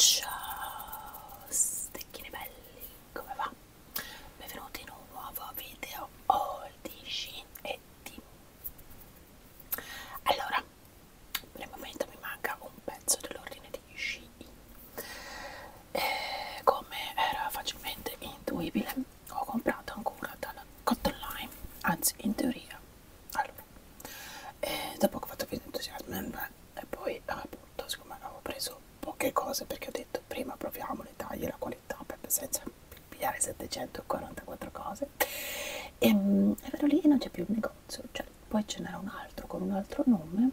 Ciao stecchini belli, come va? Benvenuti in un nuovo video haul di Shein e di... Allora, nel momento mi manca un pezzo dell'ordine di sci e eh, come era facilmente intuibile ho comprato ancora dalla Cotton Line anzi in teoria allora e dopo che ho fatto più entusiasmo e poi appunto siccome avevo preso poche cose perché ho detto prima proviamo le taglie e la qualità perché senza pigliare 744 cose e, ehm, e vado lì e non c'è più il negozio cioè poi ce n'era un altro con un altro nome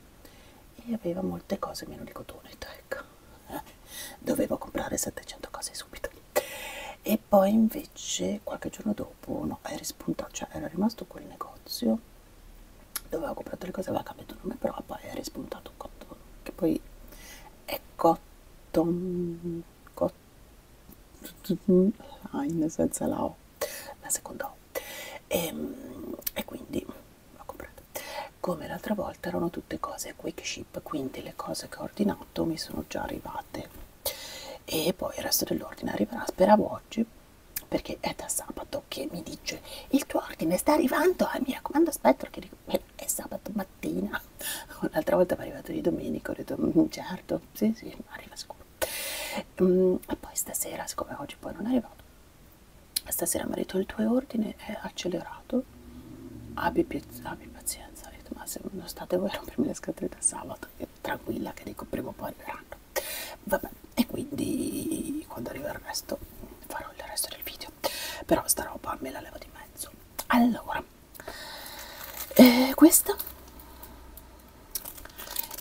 e aveva molte cose meno di cotone ecco dovevo comprare 700 cose subito e poi invece qualche giorno dopo no era spuntato cioè era rimasto quel negozio dove avevo comprato le cose aveva cambiato nome però poi era rispuntato un cotton che poi è cotton cotton line senza la o la seconda o no ehm, e, e quindi l'ho comprato come l'altra volta erano tutte cose quick ship quindi le cose che ho ordinato mi sono già arrivate e poi il resto dell'ordine arriverà speravo oggi perché è da sabato che mi dice il tuo ordine sta arrivando eh, mi raccomando aspetta che eh, è sabato mattina un'altra volta mi è arrivato di domenica ho detto mm, certo sì sì arriva sicuro Mm, e poi stasera, siccome oggi poi non è arrivato, stasera mi ha detto il tuo ordine è accelerato, abbi, abbi pazienza, detto, ma se non state voi a rompermi le scatole da sabato, tranquilla che dico prima o poi arriveranno. Vabbè, e quindi quando arriva il resto farò il resto del video, però sta roba me la levo di mezzo. Allora, eh, questa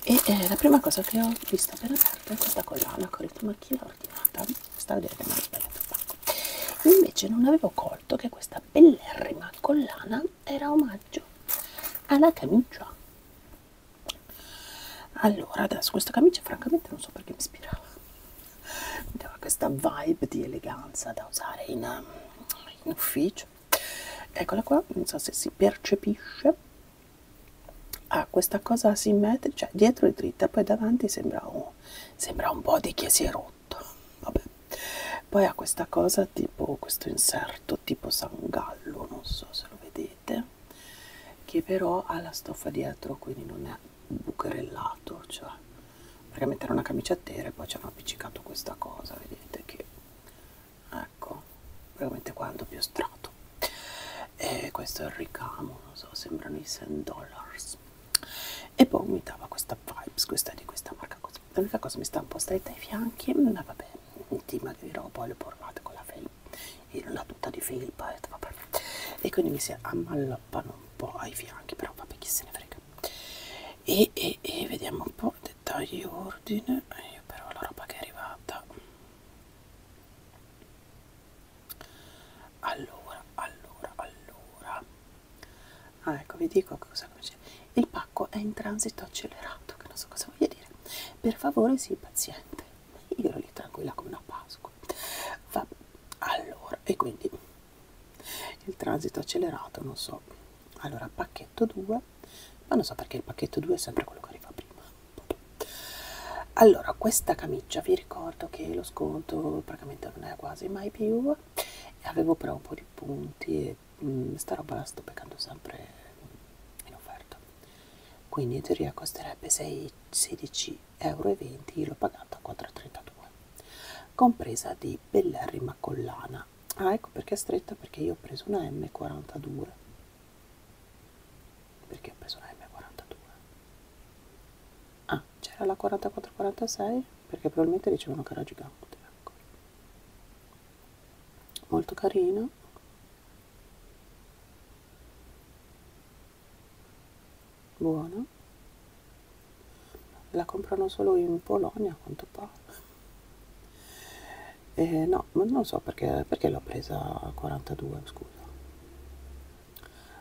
e eh, la prima cosa che ho visto per aperto è questa collana che ho detto ma chi l'ha ordinata? sta a vedere che mi hanno sbagliato il pacco invece non avevo colto che questa bellerrima collana era omaggio alla camicia allora adesso questa camicia francamente non so perché mi ispirava mi dava questa vibe di eleganza da usare in, in ufficio eccola qua non so se si percepisce ha ah, questa cosa asimmetrica, cioè dietro è dritta, poi davanti sembra un, sembra un po' di che si è rotto. Vabbè. Poi ha questa cosa tipo questo inserto tipo sangallo, non so se lo vedete, che però ha la stoffa dietro, quindi non è bucherellato, cioè perché mettere una camicia a terra e poi ci hanno appiccicato questa cosa, vedete che è eh, ecco veramente qua è il doppio strato e questo è il ricamo non so sembrano i 100 dollars e poi mi dava questa vibes questa è di questa marca l'unica cosa mi sta un po' stretta ai fianchi ma vabbè ti magrirò poi le portate con la felpa la tuta di felpa e vabbè e quindi mi si ammalloppano un po' ai fianchi però vabbè chi se ne frega e, e, e vediamo un po' dettagli ordine eh, io però la roba che è arrivata allora allora allora ah, ecco vi dico cosa dice il pacco è in transito accelerato che non so cosa voglia dire per favore sii paziente io ero lì tranquilla come una pasqua Va, allora e quindi il transito accelerato non so allora pacchetto 2 ma non so perché il pacchetto 2 è sempre quello che arriva prima allora questa camicia vi ricordo che lo sconto praticamente non è quasi mai più avevo però un po' di punti e mh, mm, sta roba la sto peccando sempre in offerta quindi in teoria costerebbe 16,20 euro l'ho pagata a 4,32 compresa di bellerrima collana ah ecco perché è stretta perché io ho preso una M42 perché ho preso la M42 ah c'era la 44-46 perché probabilmente dicevano che era gigante ecco. molto carino buono la comprano solo in Polonia a quanto pare eh, no ma non so perché, perché l'ho presa a 42 scusa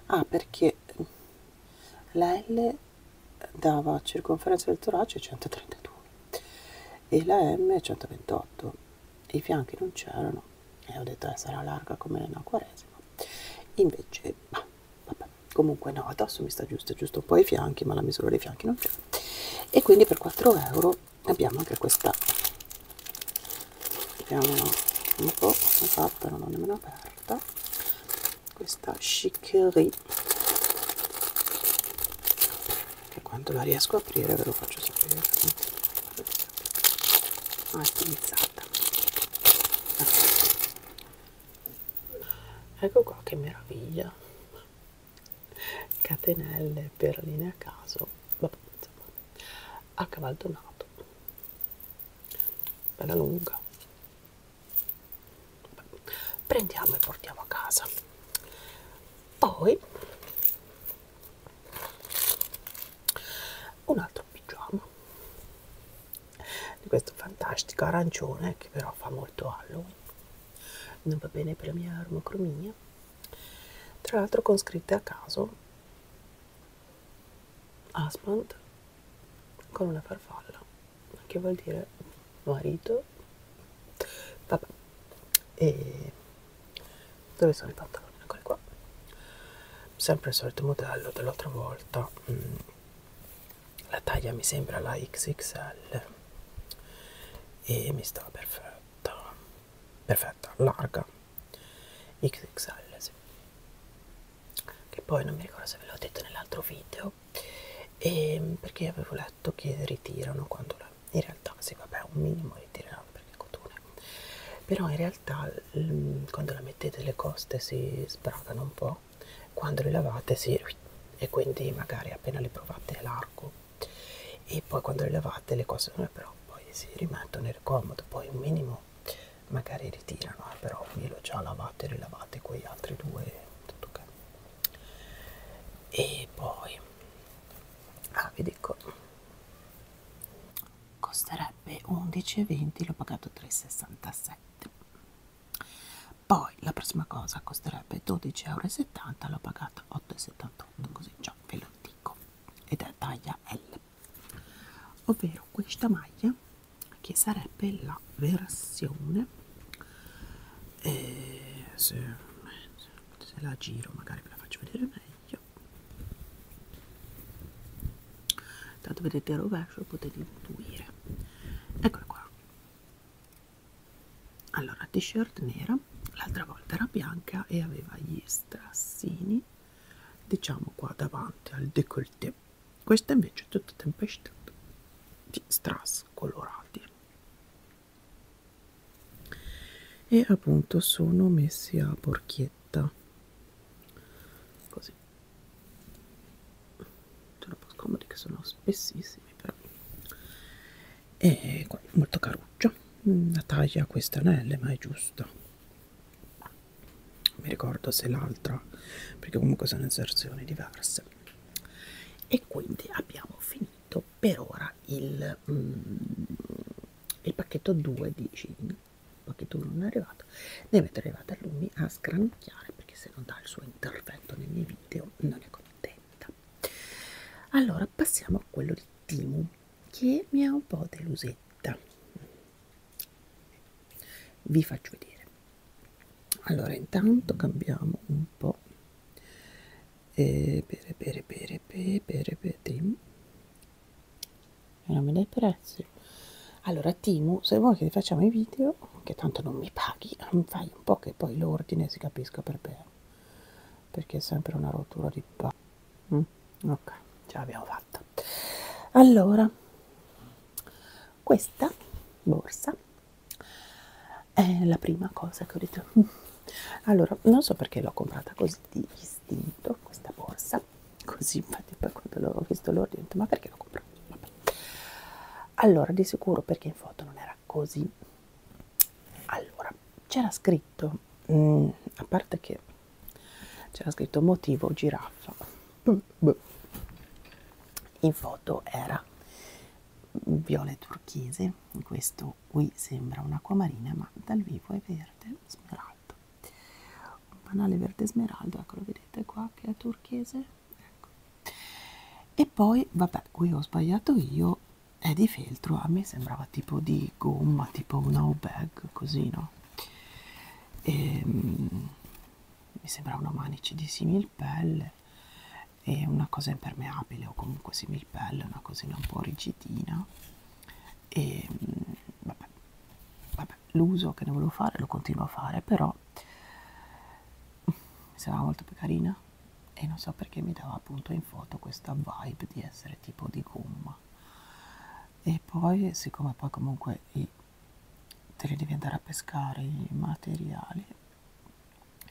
ah perché la L dava circonferenza del torace 132 e la M 128 i fianchi non c'erano e ho detto eh, sarà larga come una quaresima invece bah, vabbè. comunque no adesso mi sta giusto giusto un po' i fianchi ma la misura dei fianchi non c'è e quindi per 4 euro abbiamo anche questa vediamola un po' fatta non ho nemmeno aperta questa chicory che quando la riesco a aprire ve lo faccio sapere ah, è stilizzata ecco. ecco qua che meraviglia catenelle perline a caso Vabbè, insomma, a cavaldonato bella lunga prendiamo e portiamo a casa poi un altro pigiama di questo fantastico arancione che però fa molto Halloween non va bene per la mia armocromia tra l'altro con scritte a caso Aspant con una farfalla che vuol dire marito vabbè e dove sono i pantaloni? eccoli qua sempre il solito modello dell'altra volta mm. la taglia mi sembra la XXL e mi sta perfetta perfetta larga XXL sì. che poi non mi ricordo se ve l'ho detto nell'altro video e ehm, perché avevo letto che ritirano quando la, in realtà sì vabbè un minimo ritirano perché cotone però in realtà quando la mettete le coste si sbragano un po' quando le lavate si e quindi magari appena le provate largo e poi quando le lavate le cose non è però poi si rimettono nel comodo poi un minimo magari ritirano eh, però io l'ho già lavato e rilavate quegli altri due tutto okay. e poi ah vi dico costerebbe 11,20 l'ho pagato 3,67 poi la prossima cosa costerebbe 12,70 euro l'ho pagata 8,78 così già ve lo dico ed è taglia L ovvero questa maglia che sarebbe la versione eh, se, se la giro magari ve la faccio vedere meglio tanto vedete il rovescio potete intuire eccola qua allora t-shirt nera l'altra volta era bianca e aveva gli strassini diciamo qua davanti al décolleté questa invece è tutta tempestata di strass colorati e appunto sono messi a porchietta così troppo scomodi che sono spessissimi però e molto caruccio Mm, la taglia a queste anelle ma è giusta mi ricordo se l'altra perché comunque sono inserzioni diverse e quindi abbiamo finito per ora il, mm, il pacchetto 2 di jean il pacchetto 1 non è arrivato ne avete arrivate a lui a sgranocchiare perché se non dà il suo intervento nei miei video non è contenta allora passiamo a quello di Timu che mi ha un po' delusetta vi faccio vedere allora intanto cambiamo un po' e per per per per per per Tim non mi dai prezzi allora Timu se vuoi che facciamo i video che tanto non mi paghi fai un po' che poi l'ordine si capisca per bene perché è sempre una rottura di palle mm, ok ce l'abbiamo fatta allora questa borsa è la prima cosa che ho detto allora non so perché l'ho comprata così di istinto questa borsa così infatti poi quando l'ho visto l'ordine ho detto ma perché l'ho comprata Vabbè. allora di sicuro perché in foto non era così allora c'era scritto mh, mm, a parte che c'era scritto motivo giraffa in foto era viola turchese questo qui sembra un'acquamarina ma dal vivo è verde smeraldo un banale verde smeraldo ecco lo vedete qua che è turchese ecco. e poi vabbè qui ho sbagliato io è di feltro a me sembrava tipo di di gomma tipo una bag così no e, um, mi sembra una manice di similpelle e una cosa impermeabile o comunque similpelle una cosina un po' rigidina e um, vabbè, vabbè l'uso che ne volevo fare lo continuo a fare però mi sembrava molto più carina e non so perché mi dava appunto in foto questa vibe di essere tipo di gomma lavoro e poi siccome poi comunque i, te li devi andare a pescare i materiali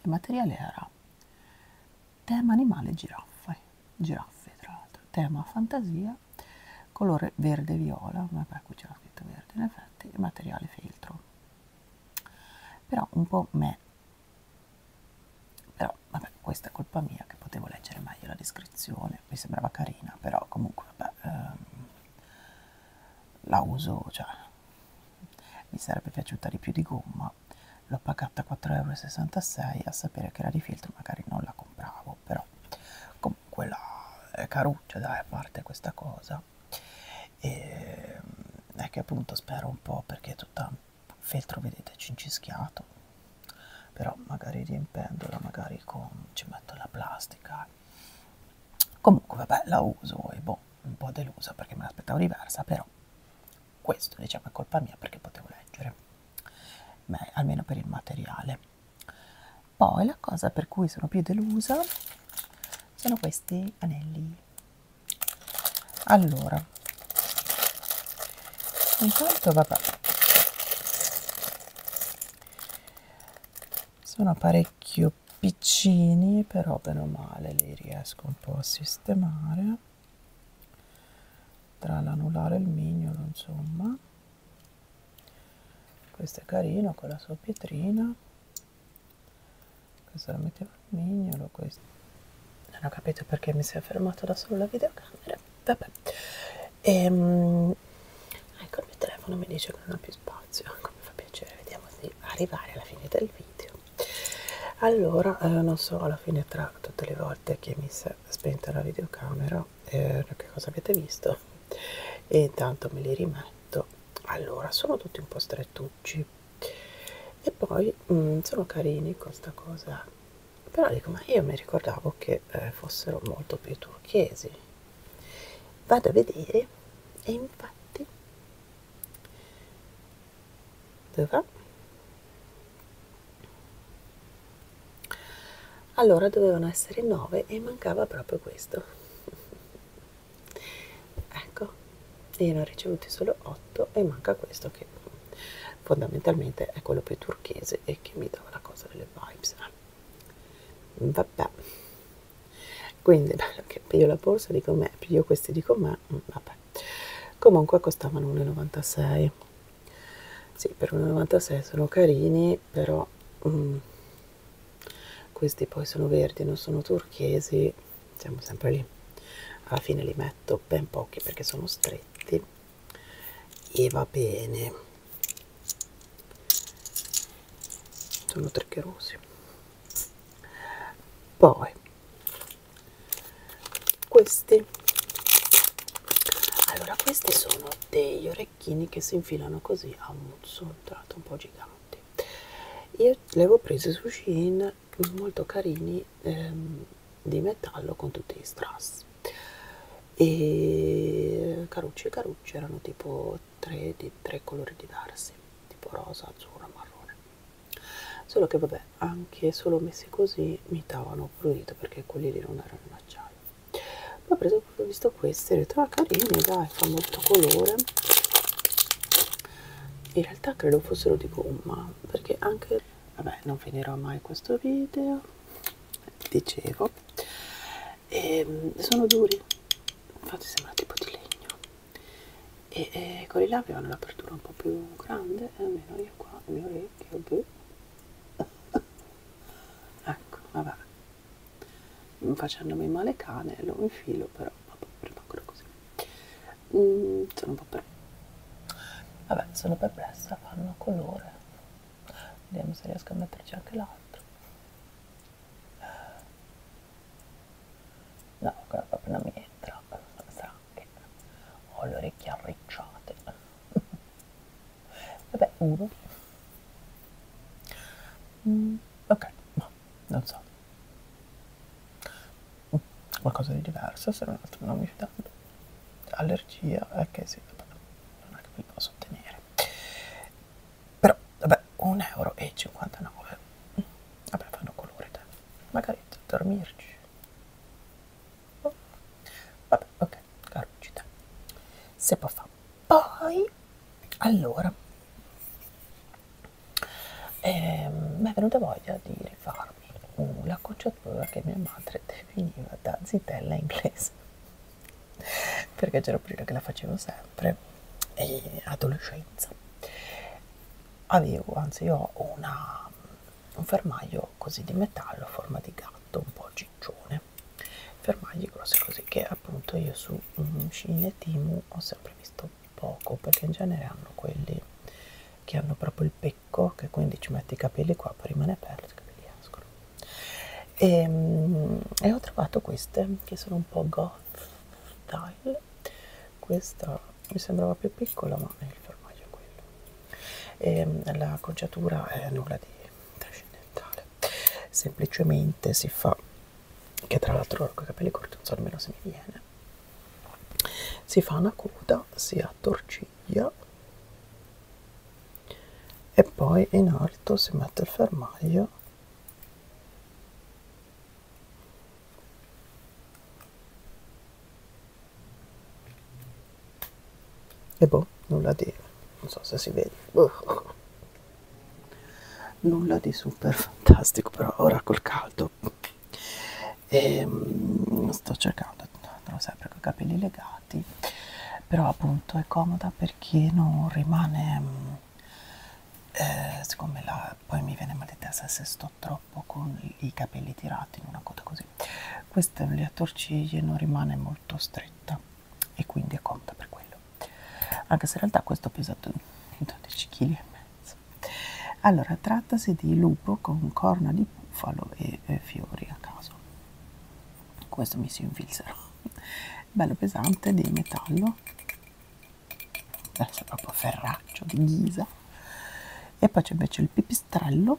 il materiale era tema animale giraffe giraffe tra l'altro tema fantasia colore verde viola vabbè qui c'era scritto verde in effetti il materiale feltro però un po' me però vabbè questa è colpa mia che potevo leggere meglio la descrizione mi sembrava carina però comunque vabbè ehm, la uso cioè mi sarebbe piaciuta di più di gomma l'ho pagata 4,66€ a sapere che era di filtro magari non la compravo però comunque la è caruccia dai a parte questa cosa e ehm, è che appunto spero un po' perché è tutta feltro vedete cincischiato però magari riempendola magari con ci metto la plastica comunque vabbè la uso e boh un po' delusa perché me l'aspettavo diversa però questo diciamo è colpa mia perché potevo leggere Beh, almeno per il materiale poi la cosa per cui sono più delusa sono questi anelli allora intanto vabbè sono parecchio piccini però bene o male li riesco un po' a sistemare tra l'anulare e il mignolo insomma questo è carino con la sua pietrina questo lo mettevo al mignolo questo non ho capito perché mi si è fermato da solo la videocamera vabbè ehm, ecco il mio telefono mi dice che non ho più spazio ecco, mi fa piacere vediamo di arrivare alla fine del video allora eh, non so alla fine tra tutte le volte che mi si è spenta la videocamera eh, che cosa avete visto e intanto me li rimetto allora sono tutti un po' strettucci e poi mh, mm, sono carini questa cosa però dico ma io mi ricordavo che eh, fossero molto più turchesi vado a vedere e infatti dove va? allora dovevano essere 9 e mancava proprio questo ecco e ne ho ricevuti solo 8 e manca questo che fondamentalmente è quello più turchese e che mi dava la cosa delle vibes vabbè quindi che piglio la borsa dico me piglio questi dico me mm, vabbè comunque costavano 1,96 sì per 1,96 sono carini però mm, questi poi sono verdi non sono turchesi siamo sempre lì alla fine li metto ben pochi perché sono stretti e va bene sono triccherosi poi questi allora questi sono degli orecchini che si infilano così a un muzzo tra l'altro un po' giganti io li avevo presi su Shein molto carini ehm, di metallo con tutti gli strass e carucci e carucci erano tipo tre, di, tre colori diversi tipo rosa, azzurro, marrone solo che vabbè anche solo messi così mi davano prurito perché quelli lì non erano in acciaio poi ho preso ho visto questi e ho detto ah carini dai fa molto colore in realtà credo fossero di gomma perché anche vabbè non finirò mai questo video dicevo e ehm, sono duri infatti sembra tipo di legno e, e quelli là avevano l'apertura un po' più grande e eh, almeno io qua le mie orecchie boh. ecco vabbè facendomi male cane lo infilo però vabbè, rimangono così mm, sono un po' perplessa vabbè sono perplessa fanno colore vediamo se riesco a metterci anche l'altro no quella proprio non mi entra sarà che ho le orecchie arricciate vabbè uno mm, ok ma no, non so mm, qualcosa di diverso se non altro non mi fido allergia ok sì vabbè, non è che vi posso ottenere però vabbè 1,59 euro vabbè fanno colore dai magari dormirci oh. vabbè ok carucita se può fa poi allora ehm, mi è venuta voglia di rifarmi la cocciatura che mia madre definiva da zitella inglese perché c'era prima che la facevo sempre e adolescenza avevo anzi io ho una, un fermaglio così di metallo a forma di gatto un po' ciccione fermagli grossi così che appunto io su um, Cine Timu ho sempre visto poco perché in genere hanno quelli che hanno proprio il pecco che quindi ci metti i capelli qua poi rimane aperto i capelli escono e, ehm, e ho trovato queste che sono un po' goth style questa mi sembrava più piccola ma il fermaglio è quello e, ehm, la coggiatura è nulla di trascendentale semplicemente si fa che tra l'altro con i capelli corti non so nemmeno se mi viene si fa una coda si attorciglia ciglia e poi in alto si mette il fermaglio e boh, nulla di... non so se si vede uh. nulla di super fantastico però ora col caldo e, ehm, sto cercando andrò sempre con i capelli legati però appunto è comoda perché non rimane mm, eh, siccome la, poi mi viene mal di testa se sto troppo con i capelli tirati in una coda così questa le attorciglie non rimane molto stretta e quindi è comoda per quello anche se in realtà questo pesa 12 kg e mezzo allora trattasi di lupo con corna di bufalo e, e fiori a caso questo mi si infilzerò bello pesante di metallo adesso è proprio ferraccio di ghisa e poi c'è invece il pipistrello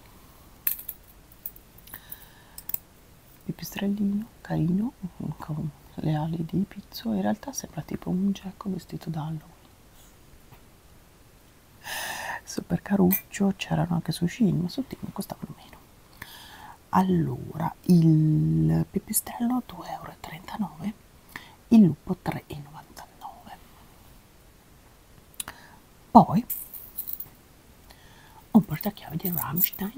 pipistrellino carino con le ali di pizzo in realtà sembra tipo un gecko vestito da Halloween super caruccio c'erano anche sushi ma su team costavano meno allora il pipistrello 2,39 euro il lupo 3,99 poi un portachiavi di Rammstein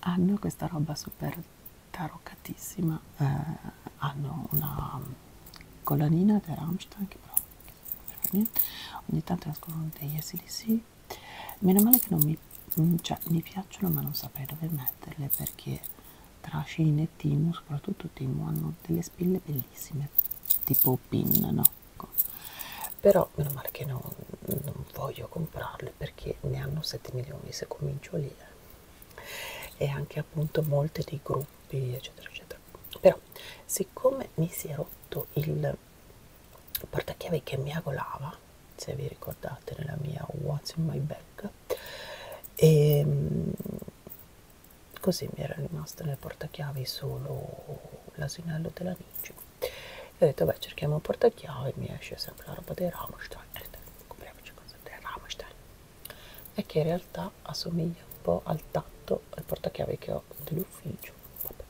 hanno questa roba super taroccatissima eh, hanno una collanina di Rammstein che però ogni tanto ne ascolto degli SDC meno male che non mi mm, cioè mi piacciono ma non saprei dove metterle perché tra Shin e Timu soprattutto Timu hanno delle spille bellissime tipo pin no ecco. però meno male che non, non voglio comprarle perché ne hanno 7 milioni se comincio lì eh. e anche appunto molte dei gruppi eccetera eccetera però siccome mi si è rotto il il portachiavi che miagolava se vi ricordate nella mia What's in my bag e ehm, così mi era rimasto nel portachiavi solo l'asinello della Ninja e ho detto beh cerchiamo un portachiavi mi esce sempre la roba dei Rammstein e ho detto eh, compriamoci cose dei Rammstein e che in realtà assomiglia un po' al tatto al portachiavi che ho dell'ufficio Vabbè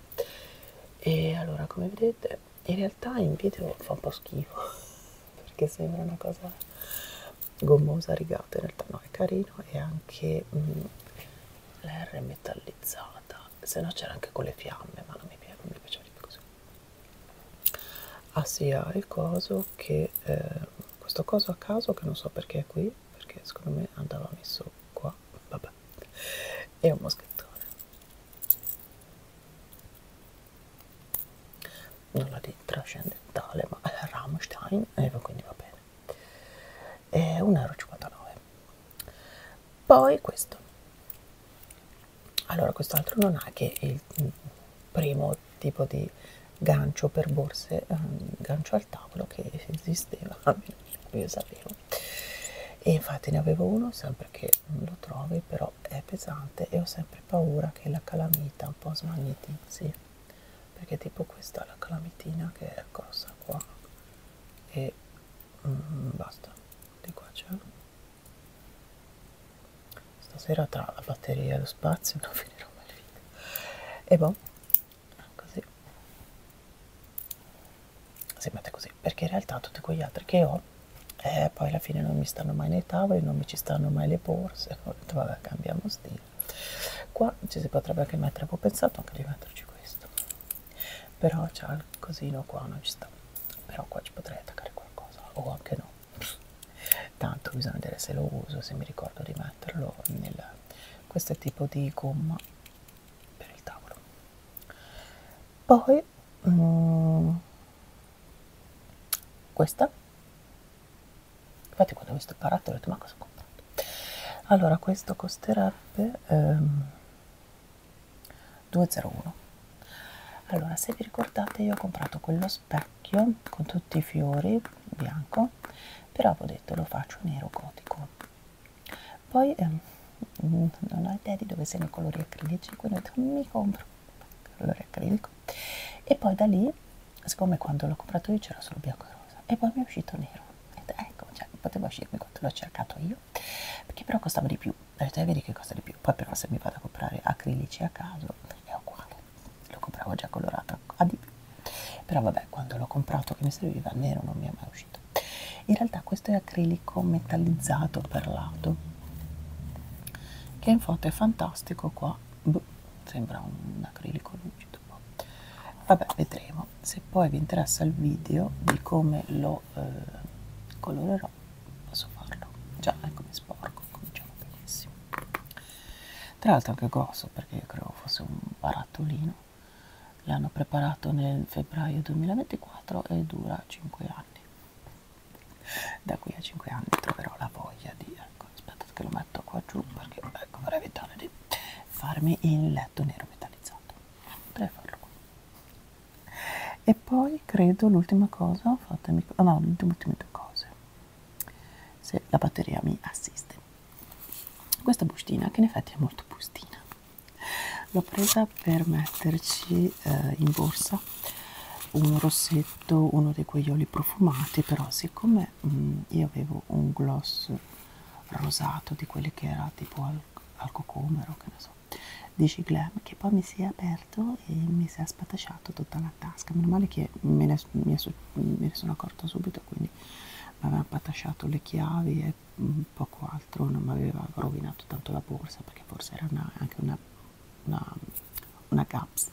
e allora come vedete in realtà in video fa un po' schifo perché sembra una cosa gommosa rigata in realtà no è carino e anche mm, la R metallizzata se no c'era anche con le fiamme ma non mi, piace, non mi piaceva di più così ha ah, sia ah, il coso che eh, questo coso a caso che non so perché è qui qui perché secondo me andava messo qua vabbè e un moschettone nulla di trascendentale ma Rammstein e eh, quindi va bene e 1,59 euro poi questo allora quest'altro non ha che il mm, primo tipo di gancio per borse ehm, gancio al tavolo che esisteva almeno io sapevo Ecco. e infatti ne avevo uno sempre che lo trovi però è pesante e ho sempre paura che la calamita un po' smagnetizzi perché tipo questa è la calamitina che è grossa qua e mm, basta di qua c'è stasera tra la batteria e lo spazio non finirò mai il video e boh così si mette così perché in realtà tutti quegli altri che ho eh, poi alla fine non mi stanno mai nei tavoli non mi ci stanno mai le borse ho detto vabbè cambiamo stile qua ci si potrebbe anche mettere ho pensato anche di metterci questo però c'ha il cosino qua non ci sta però qua ci potrei attaccare qualcosa o anche no tanto bisogna vedere se lo uso se mi ricordo di metterlo nel questo è tipo di gomma per il tavolo poi mm, questa infatti quando ho visto il baratto ho detto ma cosa ho comprato allora questo costerebbe ehm, 2,01 allora se vi ricordate io ho comprato quello specchio con tutti i fiori bianco però avevo detto lo faccio nero gotico poi ehm, non ho idea di dove siano i colori acrilici quindi ho detto mi compro il colore acrilico e poi da lì siccome quando l'ho comprato io c'era solo bianco e rosa e poi mi è uscito nero ho detto, ecco cioè, poteva uscirmi quanto l'ho cercato io perché però costava di più ho detto è eh, vero che costa di più poi però se mi vado a comprare acrilici a caso è uguale lo compravo già colorato a di più però vabbè quando l'ho comprato che mi serviva nero non mi è mai uscito in realtà questo è acrilico metallizzato perlato che in foto è fantastico qua Buh, sembra un acrilico lucido boh. vabbè vedremo se poi vi interessa il video di come lo eh, colorerò posso farlo già ecco mi sporco cominciamo benissimo tra l'altro anche grosso perché io credo fosse un barattolino l'hanno preparato nel febbraio 2024 e dura 5 anni da qui a 5 anni troverò la voglia di ecco aspettate che lo metto qua giù perché ecco vorrei evitare di farmi il letto nero metallizzato potrei farlo qua e poi credo l'ultima cosa fatemi oh no le ultime due cose se la batteria mi assiste questa bustina che in effetti è molto bustina l'ho presa per metterci eh, in borsa un rossetto uno di quegli oli profumati però siccome mh, mm, io avevo un gloss rosato di quelli che era tipo al, al cocomero che ne so di Glam che poi mi si è aperto e mi si è spatasciato tutta la tasca meno male che me ne, mi è, me ne sono accorta subito quindi mi aveva patasciato le chiavi e Mm, poco altro non mi aveva rovinato tanto la borsa perché forse era una, anche una, una, una gaps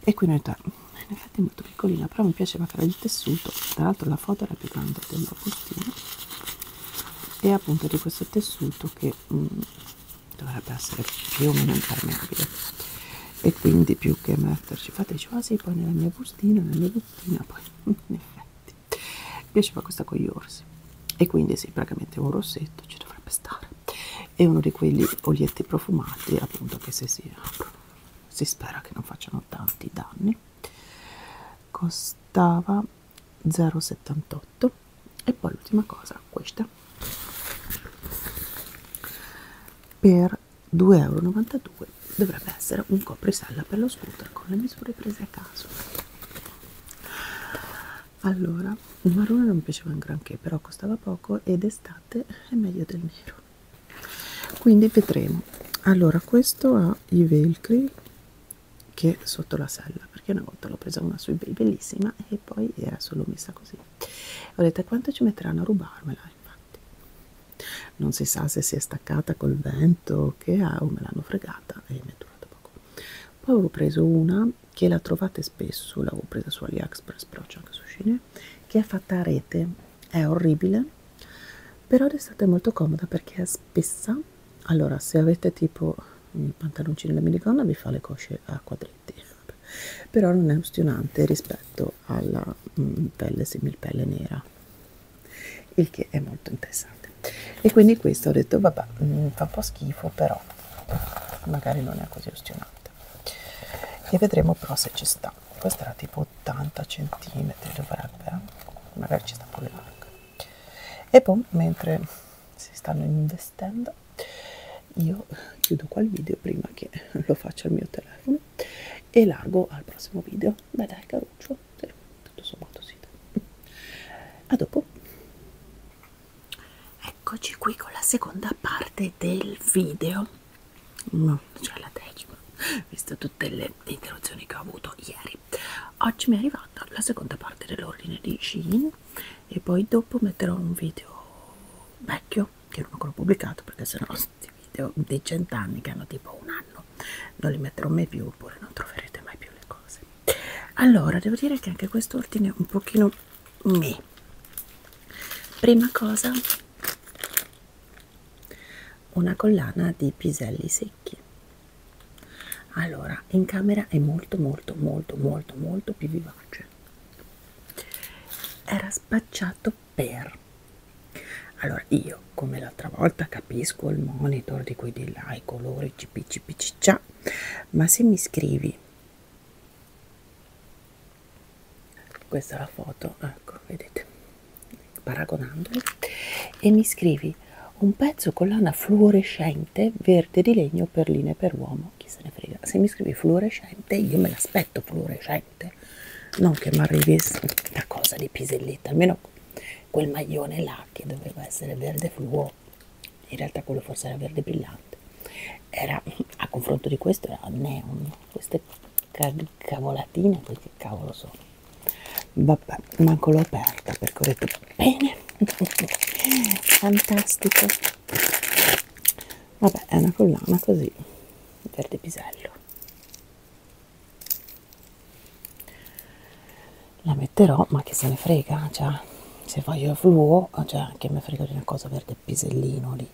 e qui noi in effetti è molto piccolina però mi piaceva che era il tessuto tra l'altro la foto era più grande della postina e appunto di questo tessuto che mh, mm, dovrebbe essere più o meno impermeabile e quindi più che metterci fate quasi ah, poi nella mia bustina nella mia bustina poi in effetti quindi mi piaceva questa con gli orsi e quindi sì praticamente un rossetto ci dovrebbe stare e uno di quegli olietti profumati appunto che se si aprono si spera che non facciano tanti danni costava 0,78 e poi l'ultima cosa questa per 2,92 euro dovrebbe essere un coprisella per lo scooter con le misure prese a caso allora il marrone non mi piaceva un granché però costava poco ed estate è meglio del nero quindi vedremo allora questo ha i velcri che sotto la sella perché una volta l'ho presa una su ebay bellissima e poi era solo messa così ho detto quanto ci metteranno a rubarmela infatti non si sa se si è staccata col vento o che ha, o me l'hanno fregata e mi è durata poco. Poi avevo preso una che la trovate spesso, l'avevo presa su AliExpress, però c'è anche su Cine, che è fatta a rete, è orribile, però d'estate è molto comoda perché è spessa. Allora, se avete tipo il pantaloncino da minigonna vi fa le cosce a quadretti, però non è ostinante rispetto alla mh, mm, pelle similpelle nera il che è molto interessante e quindi questo ho detto vabbè mm, fa un po' schifo però magari non è così ustionante e vedremo però se ci sta questa era tipo 80 cm dovrebbe eh? magari ci sta un po' le larga e poi mentre si stanno investendo io chiudo qua il video prima che lo faccia il mio telefono e largo al prossimo video. Beh dai caruccio, però tutto sommato si dà. A dopo. Eccoci qui con la seconda parte del video. No, mm, cioè la decima, visto tutte le interruzioni che ho avuto ieri. Oggi mi è arrivata la seconda parte dell'ordine di Shein e poi dopo metterò un video vecchio che non ho ancora pubblicato perché sennò questi video dei cent'anni che hanno tipo un anno non li metterò mai più oppure non troverete mai più le cose allora devo dire che anche quest'ordine è un pochino me prima cosa una collana di piselli secchi allora in camera è molto molto molto molto molto più vivace era spacciato per allora io io come l'altra volta capisco il monitor di qui di là i colori cp cp ciccia ma se mi scrivi questa è la foto ecco vedete paragonandoli e mi scrivi un pezzo con lana fluorescente verde di legno per linee per uomo chi se ne frega se mi scrivi fluorescente io me l'aspetto fluorescente non che mi arrivi una cosa di piselletta almeno quel maglione là che doveva essere verde fluo in realtà quello forse era verde brillante era a confronto di questo era neon queste cavolatine poi che cavolo sono vabbè manco l'ho aperta perché ho detto bene fantastico vabbè è una collana così verde pisello la metterò ma che se ne frega cioè se voglio fluo cioè che mi frega di una cosa verde pisellino lì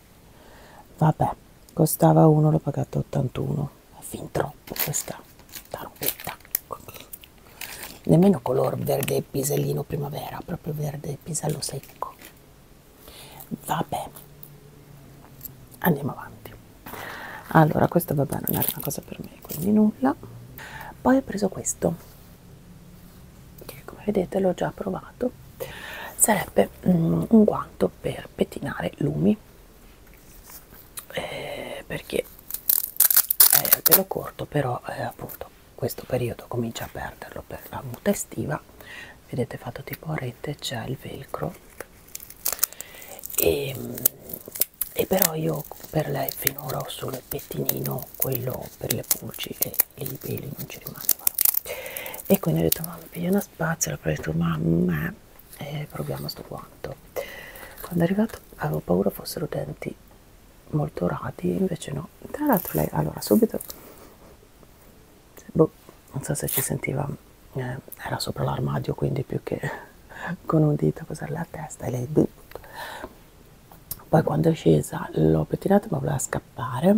vabbè costava uno l'ho pagato 81 è fin troppo questa tarpetta nemmeno color verde pisellino primavera proprio verde pisello secco vabbè andiamo avanti allora questo vabbè non era una cosa per me quindi nulla poi ho preso questo che come vedete l'ho già provato sarebbe mm, un guanto per pettinare lumi eh, perché è eh, al pelo corto però eh, appunto questo periodo comincia a perderlo per la muta estiva vedete fatto tipo a rete c'è il velcro e mm, e però io per lei finora ho solo il pettinino quello per le pulci e, e i peli non ci rimangono e quindi ho detto mamma piglio una spazzola poi ho detto mamma e eh, proviamo sto guanto quando è arrivato avevo paura fossero denti molto radi invece no tra l'altro lei allora subito boh, non so se ci sentiva eh, era sopra l'armadio quindi più che con un dito così alla testa e lei poi quando è scesa l'ho pettinata ma voleva scappare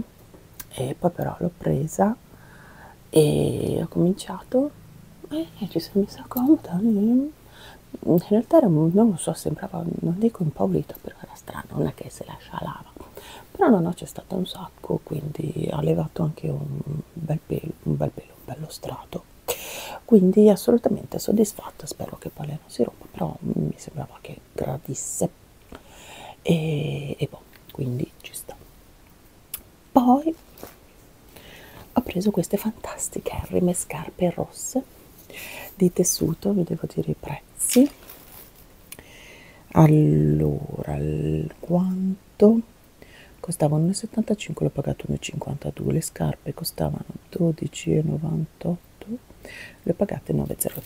e poi però l'ho presa e ho cominciato e eh, ci sono messa comoda mm. in realtà era, non lo so sembrava non dico impaurita perché era strano non è che si lascia lava però no no c'è stato un sacco quindi ha levato anche un bel pelo un bel pelo un bello strato tutto quindi assolutamente soddisfatta spero che poi lei non si rompa però mi sembrava che gradisse e, e boh, quindi ci sta poi ho preso queste fantastiche rime scarpe rosse di tessuto vi devo dire i prezzi allora il quanto costava 1,75 l'ho pagato 1,52 le scarpe costavano 12,98 le ho pagate 9,03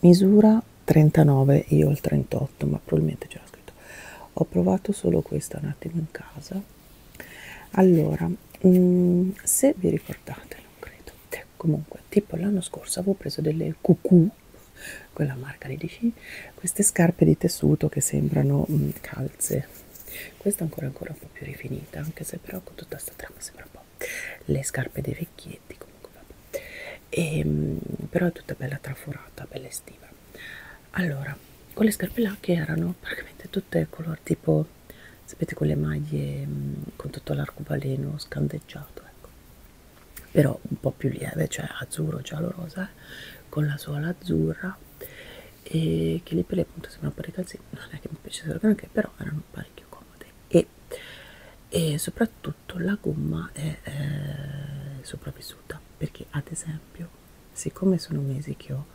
misura 39 io ho il 38 ma probabilmente c'era scritto ho provato solo questa un attimo in casa allora mh, mm, se vi ricordate non credo comunque tipo l'anno scorso avevo preso delle cucù quella marca di DC queste scarpe di tessuto che sembrano mh, mm, calze questa ancora ancora un po' più rifinita anche se però con tutta sta trama sembra un po' le scarpe dei vecchietti comunque vabbè e, ehm, però è tutta bella traforata bella estiva allora quelle scarpe là che erano praticamente tutte color tipo sapete quelle maglie mm, con tutto l'arcobaleno scandeggiato ecco però un po' più lieve cioè azzurro giallo rosa eh? con la suola azzurra e che lì per le punte sembrano parecchi calzini non è che mi piacessero granché però erano parecchio comode e, e soprattutto la gomma è eh, sopravvissuta perché ad esempio siccome sono mesi che ho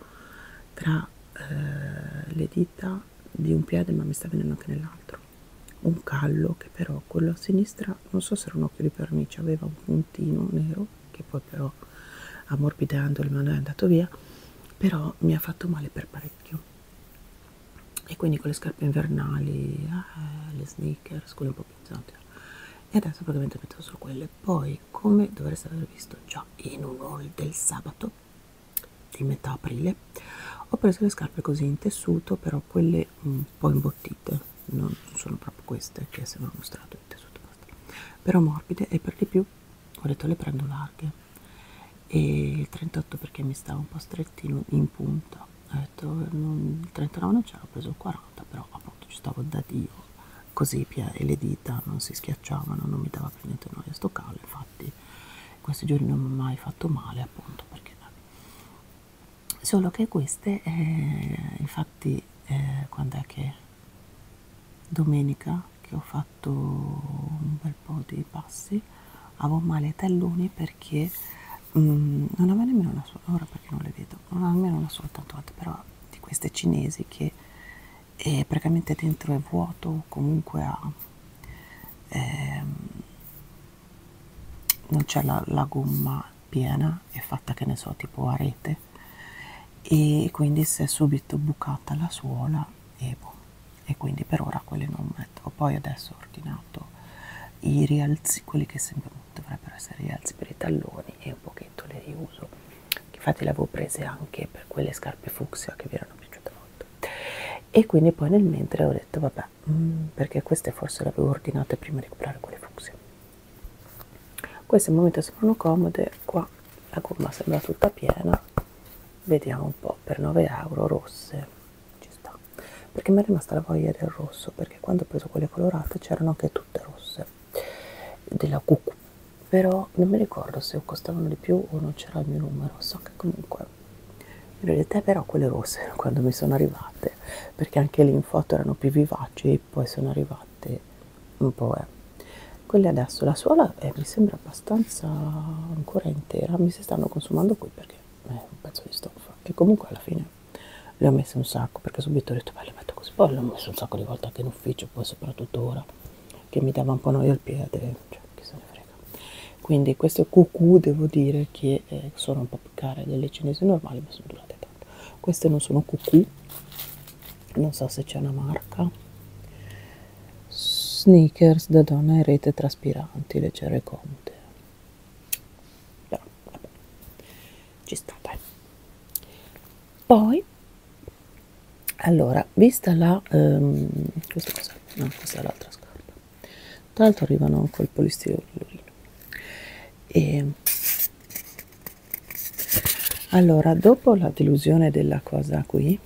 tra eh, le dita di un piede ma mi sta venendo anche nell'altro un callo che però quello a sinistra non so se era un occhio di pernice aveva un puntino nero che poi però ammorbidando il mano è andato via però mi ha fatto male per parecchio e quindi con le scarpe invernali eh, le sneakers quelle un po' pesanti e adesso praticamente metto solo quelle poi come dovreste aver visto già in un haul del sabato di metà aprile ho preso le scarpe così in tessuto però quelle un po' imbottite non sono proprio queste che se non ho mostrato il tessuto però morbide e per di più ho detto le prendo larghe e il 38 perché mi stava un po' strettino in punta ho detto non, il 39 non ce l'ho preso il 40 però appunto ci stavo da dio così e le dita non si schiacciavano non mi dava per niente noia sto calo infatti questi giorni non mi ha mai fatto male appunto perché solo che queste eh, infatti eh, quando è che domenica che ho fatto un bel po' di passi avevo male ai talloni perché um, non avevo nemmeno una sola ora perché non le vedo non avevo nemmeno una sola tatuata però di queste cinesi che è praticamente dentro è vuoto o comunque ha ehm, non c'è la, la gomma piena è fatta che ne so tipo a rete e quindi si è subito bucata la suola e, boh, e quindi per ora quelle non metto poi adesso ho ordinato i rialzi quelli che sempre dovrebbero essere rialzi per i talloni e un pochetto le riuso infatti le avevo prese anche per quelle scarpe fucsia che vi erano piaciute molto e quindi poi nel mentre ho detto vabbè mh, mm, perché queste forse le avevo ordinate prima di comprare quelle fucsia queste al momento sembrano comode qua la gomma sembra tutta piena vediamo un po per 9 euro rosse ci sta perché mi è rimasta la voglia del rosso perché quando ho preso quelle colorate c'erano anche tutte rosse della cucù però non mi ricordo se costavano di più o non c'era il mio numero so che comunque in realtà però quelle rosse quando mi sono arrivate perché anche lì in foto erano più vivaci e poi sono arrivate un po' è quelle adesso la suola eh, mi sembra abbastanza ancora intera mi si stanno consumando qui perché è un pezzo di stoffa che comunque alla fine le ho messe un sacco perché subito ho detto beh le metto così poi le ho messe un sacco di volte anche in ufficio poi soprattutto ora che mi dava un po' noia al piede cioè chi se ne frega quindi queste cucù devo dire che eh, sono un po' più care delle cinesi normali ma sono durate tanto queste non sono cucù non so se c'è una marca sneakers da donna in rete traspiranti le cere conte però vabbè ci sta dai poi allora vista la ehm, questa cosa no questa è l'altra scarpa tra l'altro arrivano col polistirolo e allora dopo la delusione della cosa qui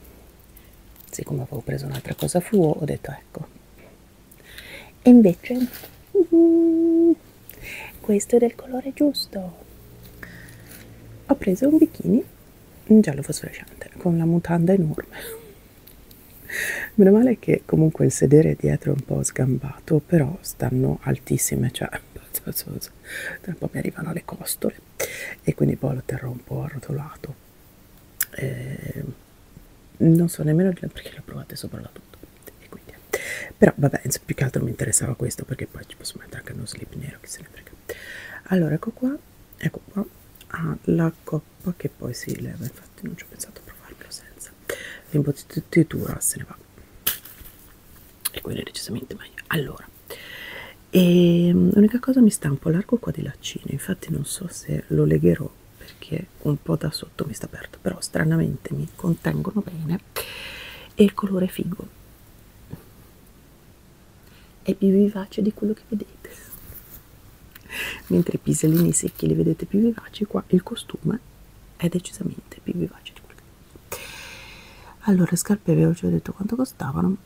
siccome avevo preso un'altra cosa fluo ho detto ecco e invece uh, questo è del colore giusto ho preso un bikini un giallo fosforescente con la mutanda enorme meno male che comunque il sedere dietro è un po' sgambato però stanno altissime cioè tra un po' mi arrivano le costole e quindi poi lo terrò un po' arrotolato eh, non so nemmeno perché l'ho provato sopra la tutto e quindi, però vabbè più che altro mi interessava questo perché poi ci posso mettere anche uno slip nero che se ne frega allora ecco qua ecco qua ah, la coppa che poi si leva infatti non ci ho pensato a provarlo senza l'imbottitura se ne va e quello è decisamente meglio allora e mm, l'unica cosa mi sta un po' largo qua di laccino infatti non so se lo legherò perché un po' da sotto mi sta aperto però stranamente mi contengono bene e il colore è figo è più vivace di quello che vedete mentre i pisellini secchi li vedete più vivaci qua il costume è decisamente più vivace di quello che vedete allora scarpe vi avevo detto quanto costavano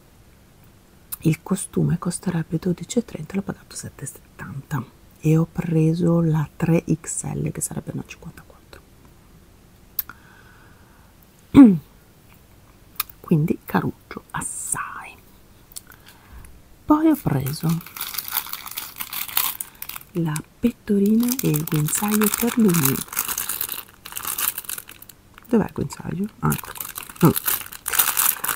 il costume costerebbe 12,30 l'ho pagato 7,70 e ho preso la 3XL che sarebbe una 54 quindi caruccio assai poi ho preso la pettorina e il guinzaglio per lui dov'è il guinzaglio? Ah, ecco. no.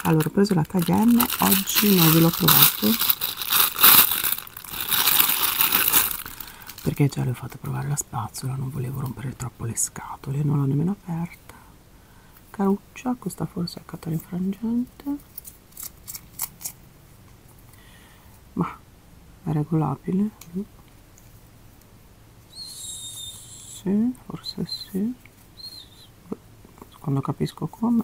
allora ho preso la taglia M oggi non ve l'ho provato perché già le ho fatto provare la spazzola non volevo rompere troppo le scatole non l'ho nemmeno aperta caruccia questa forse è catena infrangente ma è regolabile mm. Sì, forse sì. Quando capisco come.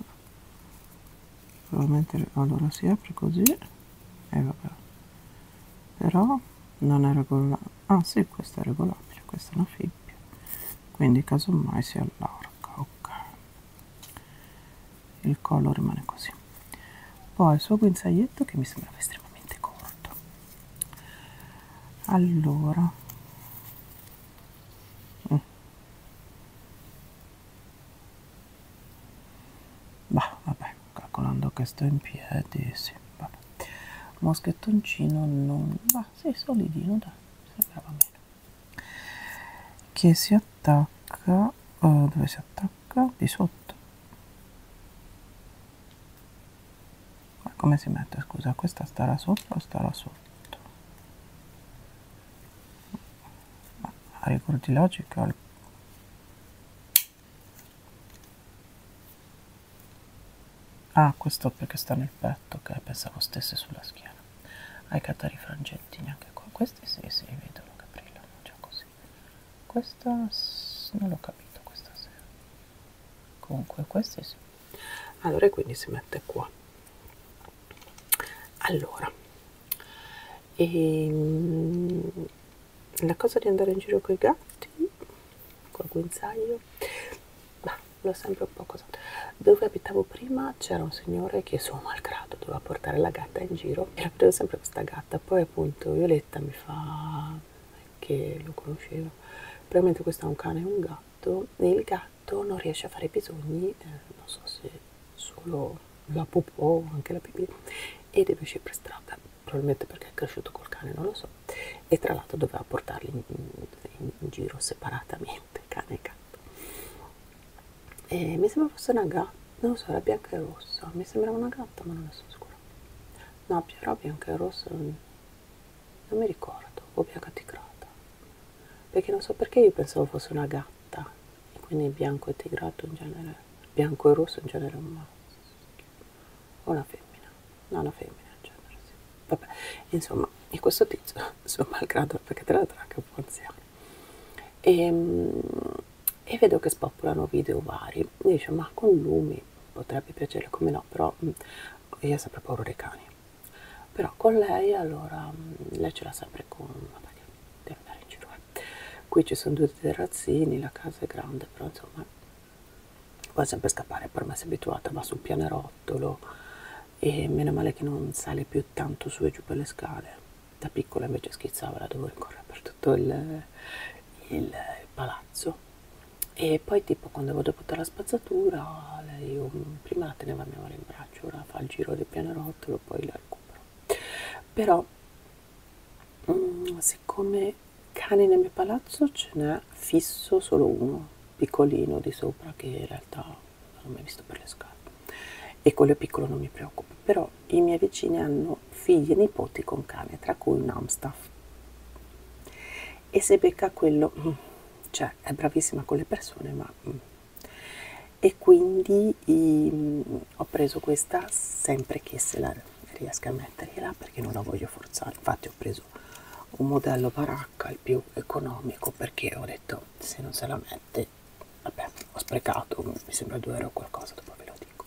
Probabilmente allora si apre così. E vabbè. Però non è regolabile. Ah sì, questa è regolabile, questa è una fibbia. Quindi casomai si allarga, ok. Il collo rimane così. Poi il suo guinzaglietto che mi sembrava estremamente corto allora mm. bah vabbè calcolando che sto in piedi sì, vabbè. moschettoncino non va sei solidino dai sembrava bene che si attacca uh, dove si attacca di sotto ma come si mette scusa questa starà sopra o starà sotto ma a rigor di logica ah questo perché sta nel petto ok pensavo stesse sulla schiena ai catari frangetti neanche qua questi sì si sì, vedono che brillano già così così questa non l'ho capito questa sera comunque queste sì allora quindi si mette qua allora e, ehm, la cosa di andare in giro con i gatti col guinzaglio bah, l'ho sempre un po' cosa dove abitavo prima c'era un signore che suo malgrado doveva portare la gatta in giro e la vedevo sempre questa gatta poi appunto Violetta mi fa che lo conosceva. Probabilmente questo è un cane e un gatto e il gatto non riesce a fare i bisogni, eh, non so se solo la popò o anche la pipì, e deve uscire per strada, probabilmente perché è cresciuto col cane, non lo so. E tra l'altro doveva portarli in, in, in giro separatamente, cane e gatto. E mi sembra fosse una gatta, non lo so, era bianca e rossa, mi sembrava una gatta ma non ne sono sicura no Pierrot bianca e rosso non, non mi ricordo o bianca tigrata perché non so perché io pensavo fosse una gatta e quindi bianco e tigrato in genere bianco e rosso in genere è un maschio o una femmina no una femmina in genere sì vabbè insomma e questo tizio sono malgrado perché tra l'altro è anche un po' anziano e, ehm, e vedo che spopolano video vari che dice ma con lumi potrebbe piacere come no però mh, mm, io ho sempre paura dei cani però con lei allora mh, mm, lei ce l'ha sempre con vabbè devo andare in giro eh. qui ci sono due terrazzini la casa è grande però insomma può sempre scappare per me si è abituata va sul pianerottolo e meno male che non sale più tanto su e giù per le scale da piccola invece schizzava la dovevo ricorrere per tutto il, il palazzo e poi tipo quando vado a buttare la spazzatura lei um, prima teneva mia mano in braccio ora fa il giro del pianerottolo poi la recupero però um, siccome cani nel mio palazzo ce n'è fisso solo uno piccolino di sopra che in realtà non ho mai visto per le scale e quello piccolo non mi preoccupa però i miei vicini hanno figli e nipoti con cane tra cui un Amstaff e se becca quello mm, cioè è bravissima con le persone ma mm. e quindi i, mm, ho preso questa sempre che se la riesca a mettergliela perché non la voglio forzare infatti ho preso un modello baracca il più economico perché ho detto se non se la mette vabbè ho sprecato mi sembra 2 euro qualcosa dopo ve lo estetico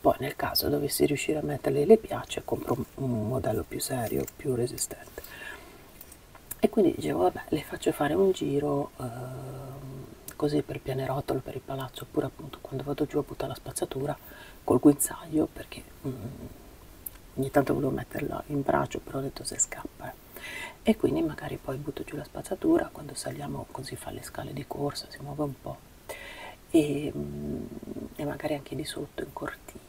poi nel caso dovessi riuscire a metterle le piacce compro un modello più serio più resistente e quindi dicevo vabbè le faccio fare un giro eh, così per il pianerottolo per il palazzo oppure appunto quando vado giù a buttare la spazzatura col guinzaglio perché mm, ogni tanto volevo metterla in braccio però ho detto se scappa eh. e quindi magari poi butto giù la spazzatura quando saliamo così fa le scale di corsa si muove un po' e, mm, e magari anche di sotto in cortile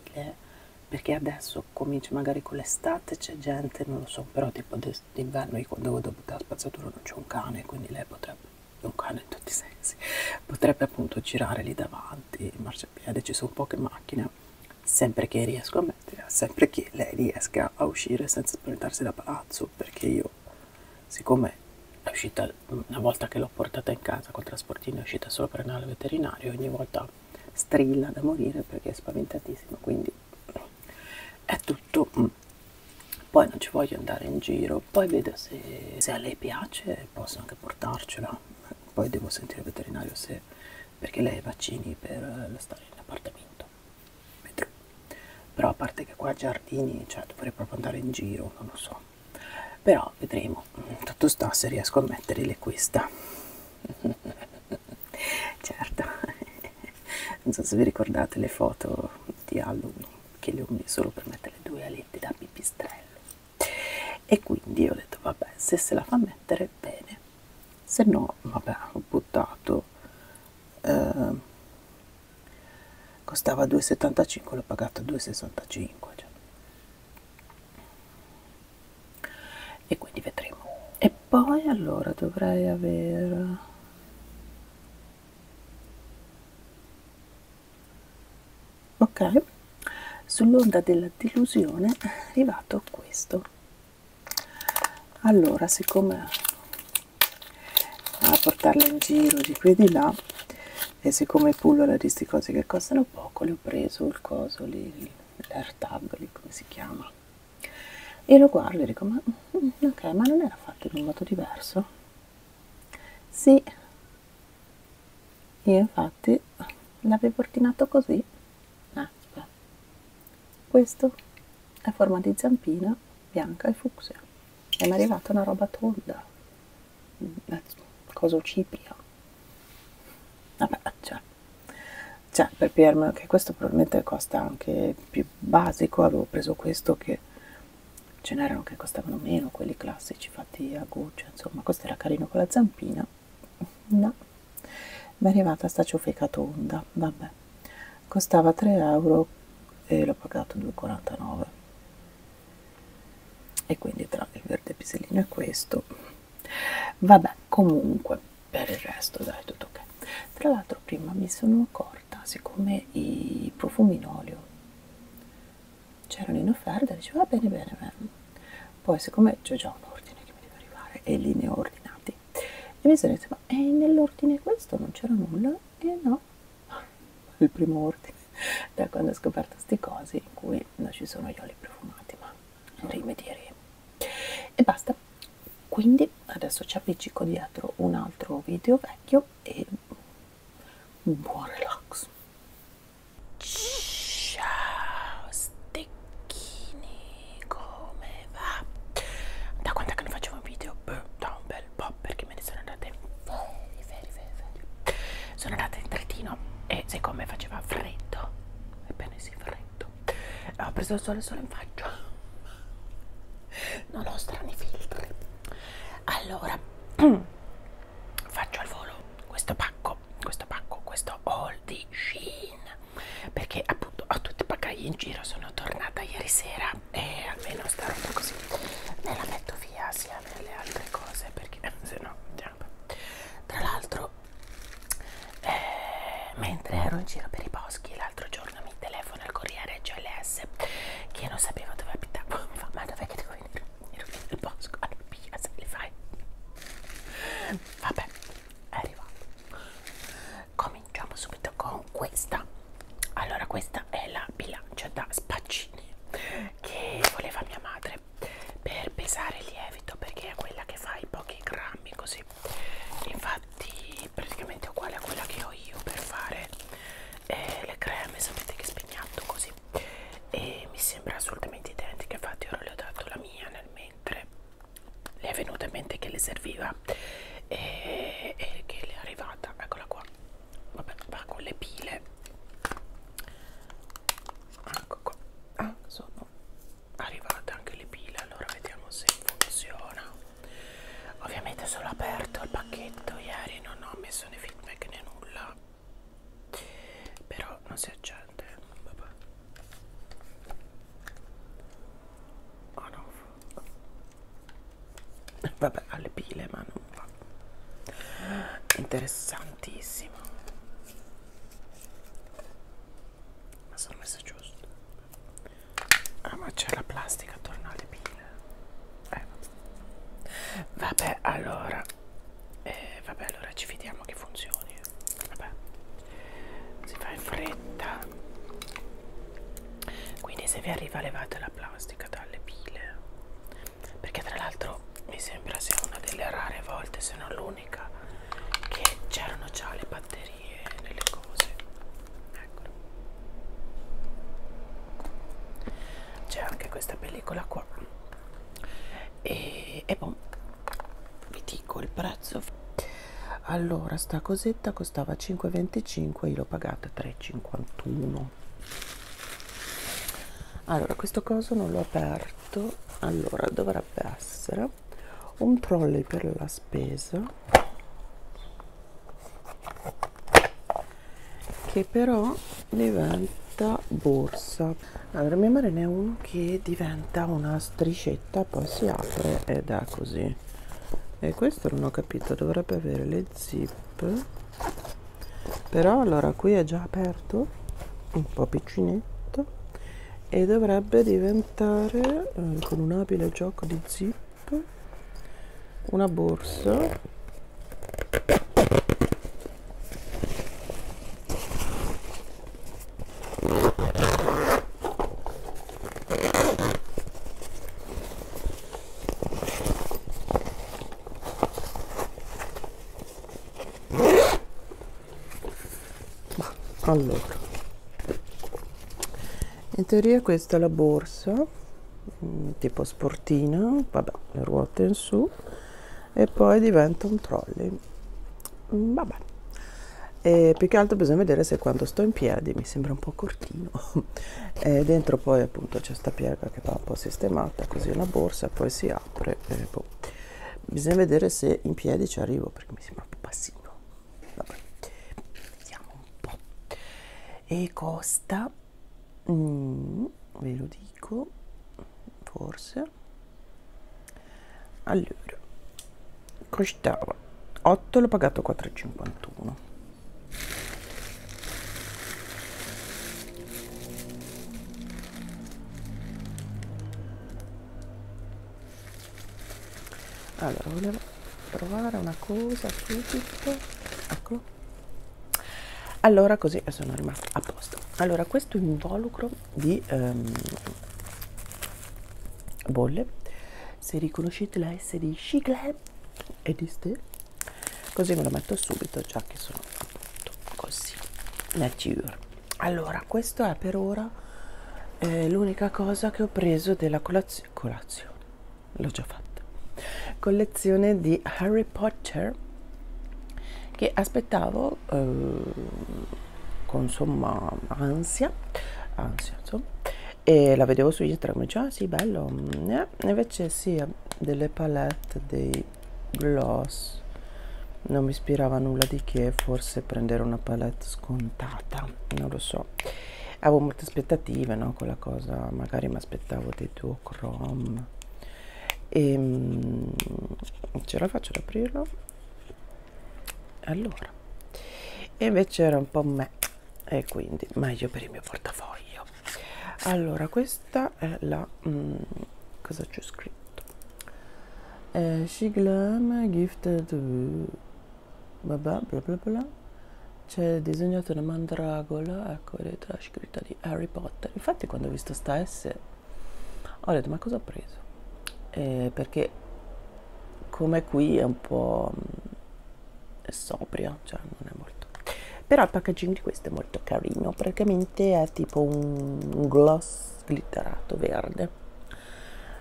perché adesso comincio magari con l'estate c'è gente non lo so però tipo d'inverno io quando devo buttare la spazzatura non c'è un cane quindi lei potrebbe un cane in tutti i sensi potrebbe appunto girare lì davanti in marciapiede ci sono poche macchine sempre che riesco a mettere sempre che lei riesca a uscire senza spaventarsi da palazzo perché io siccome l'uscita uscita una volta che l'ho portata in casa col trasportino è uscita solo per andare al veterinario ogni volta strilla da morire perché è spaventatissima quindi è tutto poi non ci voglio andare in giro poi vedo se, se a lei piace posso anche portarcela poi devo sentire il veterinario se perché lei ha i vaccini per eh, stare in appartamento vedrò però a parte che qua giardini cioè dovrei proprio andare in giro non lo so però vedremo tutto sta se riesco a metterle questa certo non so se vi ricordate le foto di Halloween che le ho messe solo per mettere le due alette da pipistrello e quindi ho detto vabbè se se la fa mettere bene se no vabbè ho buttato eh, costava 2,75 l'ho pagato 2,65 cioè, e quindi vedremo e poi allora dovrei aver ok sull'onda della delusione è arrivato questo allora siccome a portarla in giro di qui e di là e siccome pullula di sti cose che costano poco le ho preso il coso lì l'airtag lì come si chiama e lo guardo e dico ma mm, ok ma non era fatto in un modo diverso sì io infatti l'avevo ordinato così ah, Aspetta. questo è forma di zampina bianca e fucsia e mi è arrivata una roba tonda eh, cosa cipria vabbè cioè, cioè per Pierre che questo probabilmente costa anche più basico avevo preso questo che ce n'erano che costavano meno quelli classici fatti a goccia insomma questo era carino con la zampina no mi è arrivata sta ciofeca tonda vabbè costava 3 euro e l'ho pagato 2,49 e quindi tra il verde pisellino e questo vabbè comunque per il resto dai tutto ok tra l'altro prima mi sono accorta siccome i profumi in olio c'erano in offerta dicevo va bene bene bene poi siccome c'è già un ordine che mi deve arrivare e lì ne ho ordinati e mi sono detto ma eh, nell'ordine questo non c'era nulla e eh, no il primo ordine da quando ho scoperto queste cose in cui non ci sono gli oli profumati ma rimedieremo e basta quindi adesso ci appiccico dietro un altro video vecchio e buon relax ciao stecchini come va? da quanto è che non facevo un video? Beh, da un bel po' perché me ne sono andate veri veri veri, veri sono andata in Trentino e siccome faceva freddo, ebbene sì freddo, ho preso il sole solo in faccia, non ho strani filtri. Allora, faccio al volo questo pacco, questo pacco, questo haul di Shein, perché appunto ho tutti i bagagli in giro, sono tornata ieri sera e almeno sta roba così me la metto via sia nelle altre cose perché se no... Tra l'altro, eh, mentre ero in giro per i boschi l'altro giorno mi telefona il corriere GLS che non sapeva dove abitavo. Mi fa, ma dov'è che devo venire? Ero nel bosco, allora ah, piglia se li fai. Vabbè, è arrivato. Cominciamo subito con questa. Allora, questa è la bilancia da spaccini che voleva mia madre pesare per pesare il lievito perché è quella che fa i pochi grammi così infatti praticamente è uguale a quella che ho io per fare eh, le creme sapete che spegnato così e mi sembra assolutamente identica infatti ora le ho dato la mia nel mentre le è venuta in mente che le serviva e, e che le è arrivata eccola qua vabbè va con le pile Ah, ecco qua ah, sono arrivate anche le pile allora vediamo se funziona ovviamente solo aperto il pacchetto ieri non ho messo né feedback né nulla però non si accende vabbè oh no vabbè alle pile ma non va interessantissimo ma sono messa giusto ah ma c'è la plastica attorno alle pile eh. vabbè allora eh, vabbè allora ci fidiamo che funzioni vabbè si fa in fretta quindi se vi arriva levate la plastica dalle pile perché tra l'altro mi sembra sia una delle rare volte se non l'unica che c'erano già le batterie nelle cose eccolo c'è anche questa pellicola qua e, e boh vi dico il prezzo allora sta cosetta costava 5,25 io l'ho pagata 3,51 allora questo coso non l'ho aperto fatto allora dovrebbe essere un trolley per la spesa che però diventa borsa allora mia madre ne ha uno che diventa una striscetta poi si apre ed è così e questo non ho capito dovrebbe avere le zip però allora qui è già aperto un po' piccinetto e dovrebbe diventare eh, con un abile gioco di zip una borsa ma, allora in teoria questa è la borsa mm, tipo sportina vabbè le ruote in su e poi diventa un trolley mm, vabbè e più che altro bisogna vedere se quando sto in piedi mi sembra un po' cortino e dentro poi appunto c'è sta piega che va un po' sistemata così una borsa poi si apre e boh bisogna vedere se in piedi ci arrivo perché mi sembra un po' bassino Vabbè. vediamo un po' e costa mm, ve lo dico forse allora costava 8 l'ho pagato 4,51 allora volevo provare una cosa subito eccolo allora così eh, sono rimasta a posto allora questo involucro di um, bolle se riconoscete la S di Shigle e di Ste così me lo metto subito già che sono appunto così nature allora questo è per ora eh, l'unica cosa che ho preso della colazio colazione l'ho già fatta collezione di Harry Potter che aspettavo eh, con insomma ansia ansia insomma e la vedevo su Instagram e dicevo ah sì bello mm, eh, invece sia sì, delle palette dei gloss non mi ispirava nulla di che forse prendere una palette scontata non lo so avevo molte aspettative no quella cosa magari mi aspettavo dei duo chrome e ehm, mh, ce la faccio ad aprirlo allora e invece era un po' me e quindi meglio per il mio portafoglio allora questa questa è la mm, cosa c'è scritto eh, Shiglam gifted uh, bla bla bla bla c'è disegnato una mandragola ecco vedete la scritta di Harry Potter infatti quando ho visto sta S ho detto ma cosa ho preso eh, perché come qui è un po' mm, è sobria cioè non è molto però il packaging di questo è molto carino praticamente è tipo un gloss sglitterato verde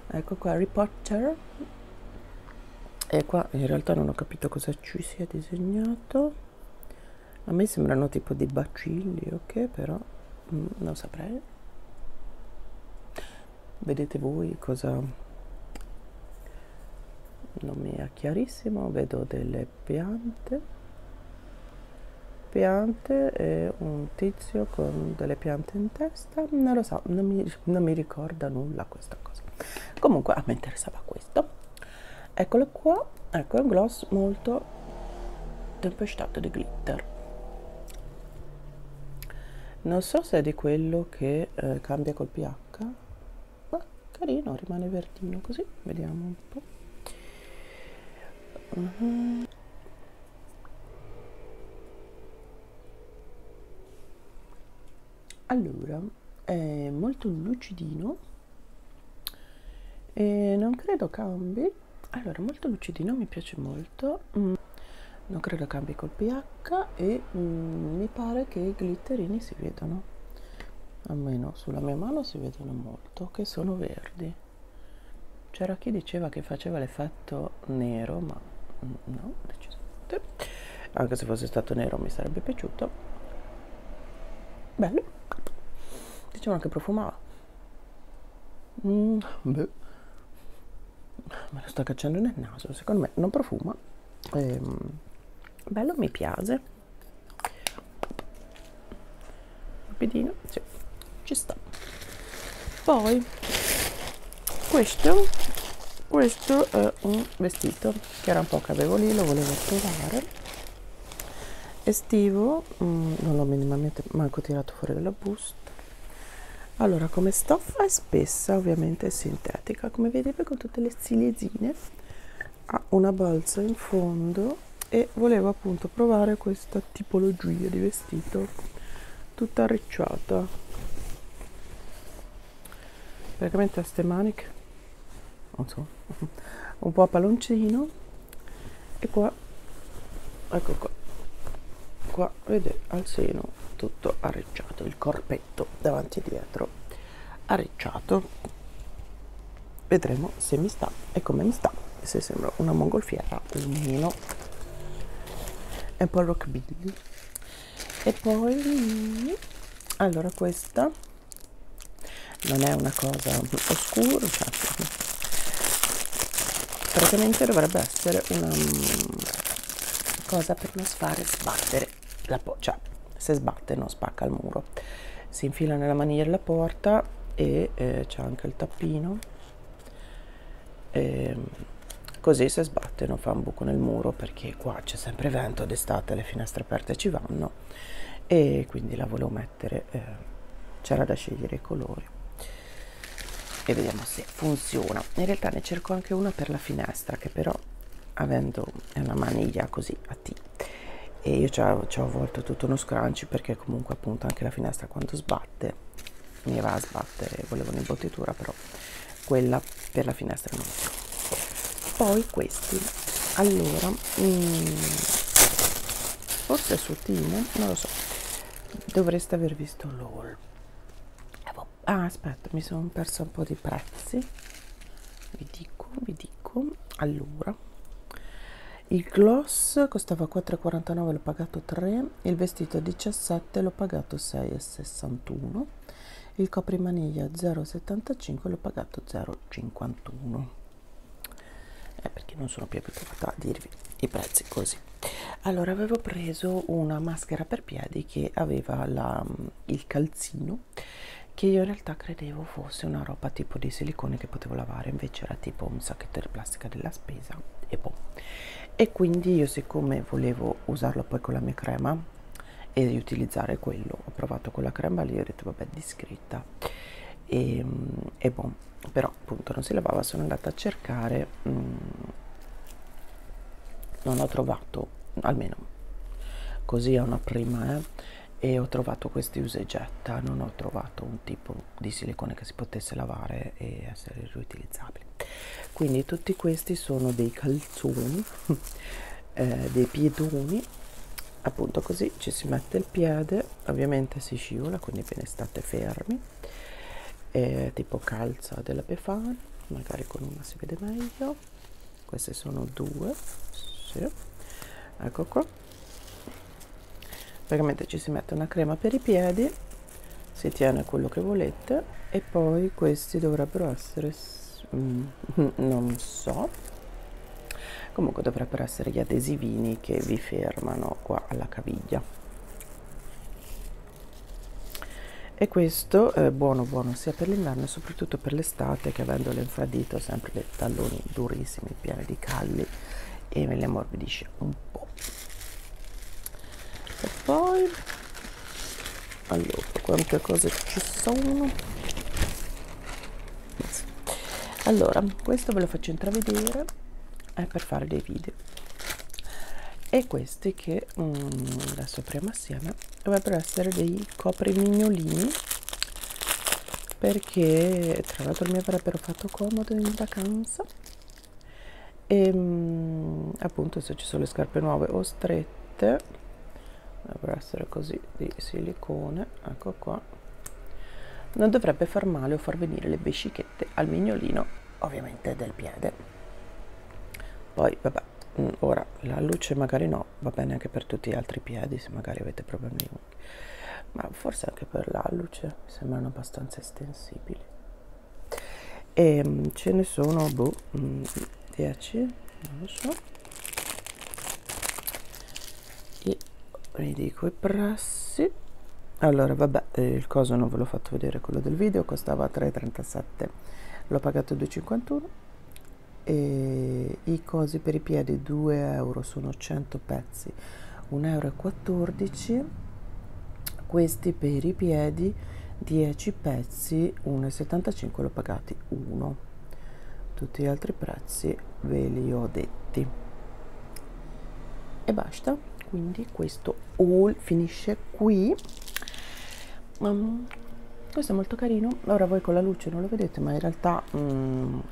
ecco qua Harry Potter e qua in realtà non ho capito cosa ci sia disegnato a me sembrano tipo dei bacilli ok però mm, non saprei vedete voi cosa non mi è chiarissimo vedo delle piante piante e un tizio con delle piante in testa non lo so non mi, non mi ricorda nulla questa cosa comunque a me interessava questo eccolo qua ecco un gloss molto tempestato di glitter non so se è di quello che eh, cambia col ph ma carino rimane verdino così vediamo un po' uh mhm. -huh allora è molto lucidino e non credo cambi allora molto lucidino mi piace molto mm. non credo cambi col ph e mm, mi pare che i glitterini si vedano almeno sulla mia mano si vedono molto che sono verdi c'era chi diceva che faceva l'effetto nero, ma no, decisamente. Anche se fosse stato nero mi sarebbe piaciuto. Bello. Dicevano che profumava. Mm, beh. Me lo sto cacciando nel naso, secondo me non profuma. Ehm, bello, mi piace rapidino sì, ci sta poi questo questo è un vestito che era un po' che avevo lì lo volevo provare estivo mm, non l'ho minimamente manco tirato fuori dalla busta allora come stoffa è spessa ovviamente è sintetica come vedete con tutte le zilezine ha una balza in fondo vestito e volevo appunto provare questa tipologia di vestito tutta arricciata praticamente a ste maniche non so un po' a palloncino e qua ecco qua qua vedete al seno tutto arricciato il corpetto davanti e dietro arricciato vedremo se mi sta e come mi sta se sembra una mongolfiera o meno e poi rockabilly e poi allora questa non è una cosa oscura cioè, praticamente dovrebbe essere una mm, cosa per non fare sbattere la cioè se sbatte non spacca il muro si infila nella maniglia della porta e eh, c'è anche il tappino e ehm, così se sbatte non fa un buco nel muro perché qua c'è sempre vento d'estate le finestre aperte ci vanno e quindi la volevo mettere eh, c'era da scegliere i colori e vediamo se funziona in realtà ne cerco anche una per la finestra che però avendo una maniglia così a T e io ci ho, ci ho avvolto tutto uno scrunch perché perché comunque appunto anche la finestra quando sbatte mi va a sbattere volevo un'imbottitura però quella per la finestra non c'è poi questi allora mh, mm, forse su Timo non lo so dovreste aver visto l'haul eh, boh. ah aspetta mi sono perso un po' di prezzi vi dico vi dico allora il gloss costava 4,49 l'ho pagato 3 il vestito 17 l'ho pagato 6,61 il coprimaniglia 0,75 l'ho pagato 0,51 eh, perché non sono più abituata a dirvi i prezzi così allora avevo preso una maschera per piedi che aveva la, il calzino che io in realtà credevo fosse una roba tipo di silicone che potevo lavare invece era tipo un sacchettera plastica della spesa e boh e quindi io siccome volevo usarlo poi con la mia crema e riutilizzare quello ho provato quella crema lì ho detto vabbè discreta e, ehm, e boh però appunto non si lavava sono andata a cercare mh, mm, non ho trovato almeno così è una prima eh, e ho trovato questi usegetta non ho trovato un tipo di silicone che si potesse lavare e essere riutilizzabile quindi tutti questi sono dei calzoni eh, dei piedoni appunto così ci si mette il piede ovviamente si scivola quindi bene state fermi eh, tipo calza della Befana magari con una si vede meglio queste sono due sì. ecco qua praticamente ci si mette una crema per i piedi si tiene quello che volete e poi questi dovrebbero essere mm, non so comunque dovrebbero essere gli adesivini che vi fermano qua alla caviglia e questo è eh, buono buono sia per l'inverno e soprattutto per l'estate che avendo l'infradito sempre dei talloni durissimi pieni di calli e me li ammorbidisce un po' e poi allora quante cose ci sono allora questo ve lo faccio intravedere è per fare dei video e questi che um, adesso apriamo assieme dovrebbero essere dei coprimignolini perché tra l'altro mi avrebbero fatto comodo in vacanza e ehm, appunto se ci sono le scarpe nuove o strette dovrebbero essere così di silicone ecco qua non dovrebbe far male o far venire le bescichette al mignolino ovviamente del piede poi vabbè mm, ora la luce magari no va bene anche per tutti gli altri piedi se magari avete problemi ma forse anche per la luce sembrano abbastanza estensibili e ehm, ce ne sono boh, 10 mm, non lo so e ridico i prassi allora vabbè eh, il coso non ve l'ho fatto vedere quello del video costava 3,37 l'ho pagato 2,51 e i cosi per i piedi 2 euro sono 100 pezzi 1,14 euro questi per i piedi 10 pezzi 1,75 l'ho pagati 1 tutti gli altri prezzi ve li ho detti e basta quindi questo haul finisce qui um, questo è molto carino ora voi con la luce non lo vedete ma in realtà um,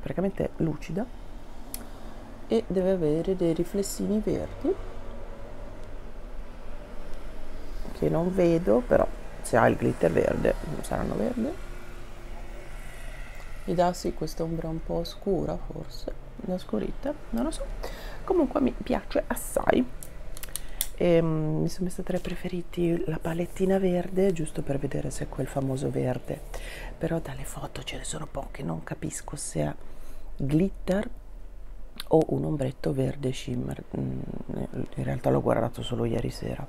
praticamente lucida e deve avere dei riflessini verdi che non vedo però se ha il glitter verde saranno verde mi dà sì questa ombra un po' scura forse una scurita non lo so comunque mi piace assai e, um, mi sono messa tra i preferiti la palettina verde giusto per vedere se è quel famoso verde però dalle foto ce ne sono poche non capisco se ha glitter o un ombretto verde shimmer mm, in realtà l'ho guardato solo ieri sera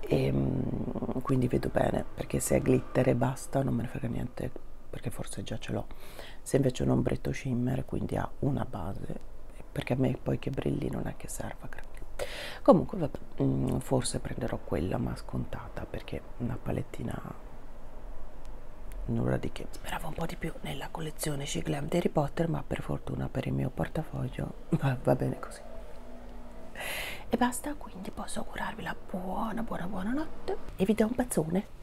e ehm, quindi vedo bene perché se è glitter e basta non me ne frega niente perché forse già ce l'ho se invece è un ombretto shimmer quindi ha una base perché a me poi che brilli non è che serva comunque vabbè, mm, forse prenderò quella ma scontata perché una palette palettina nulla di che speravo un po' di più nella collezione Shiglam di Harry Potter ma per fortuna per il mio portafoglio va, va bene così e basta quindi posso augurarvi la buona buona buona notte e vi do un bacione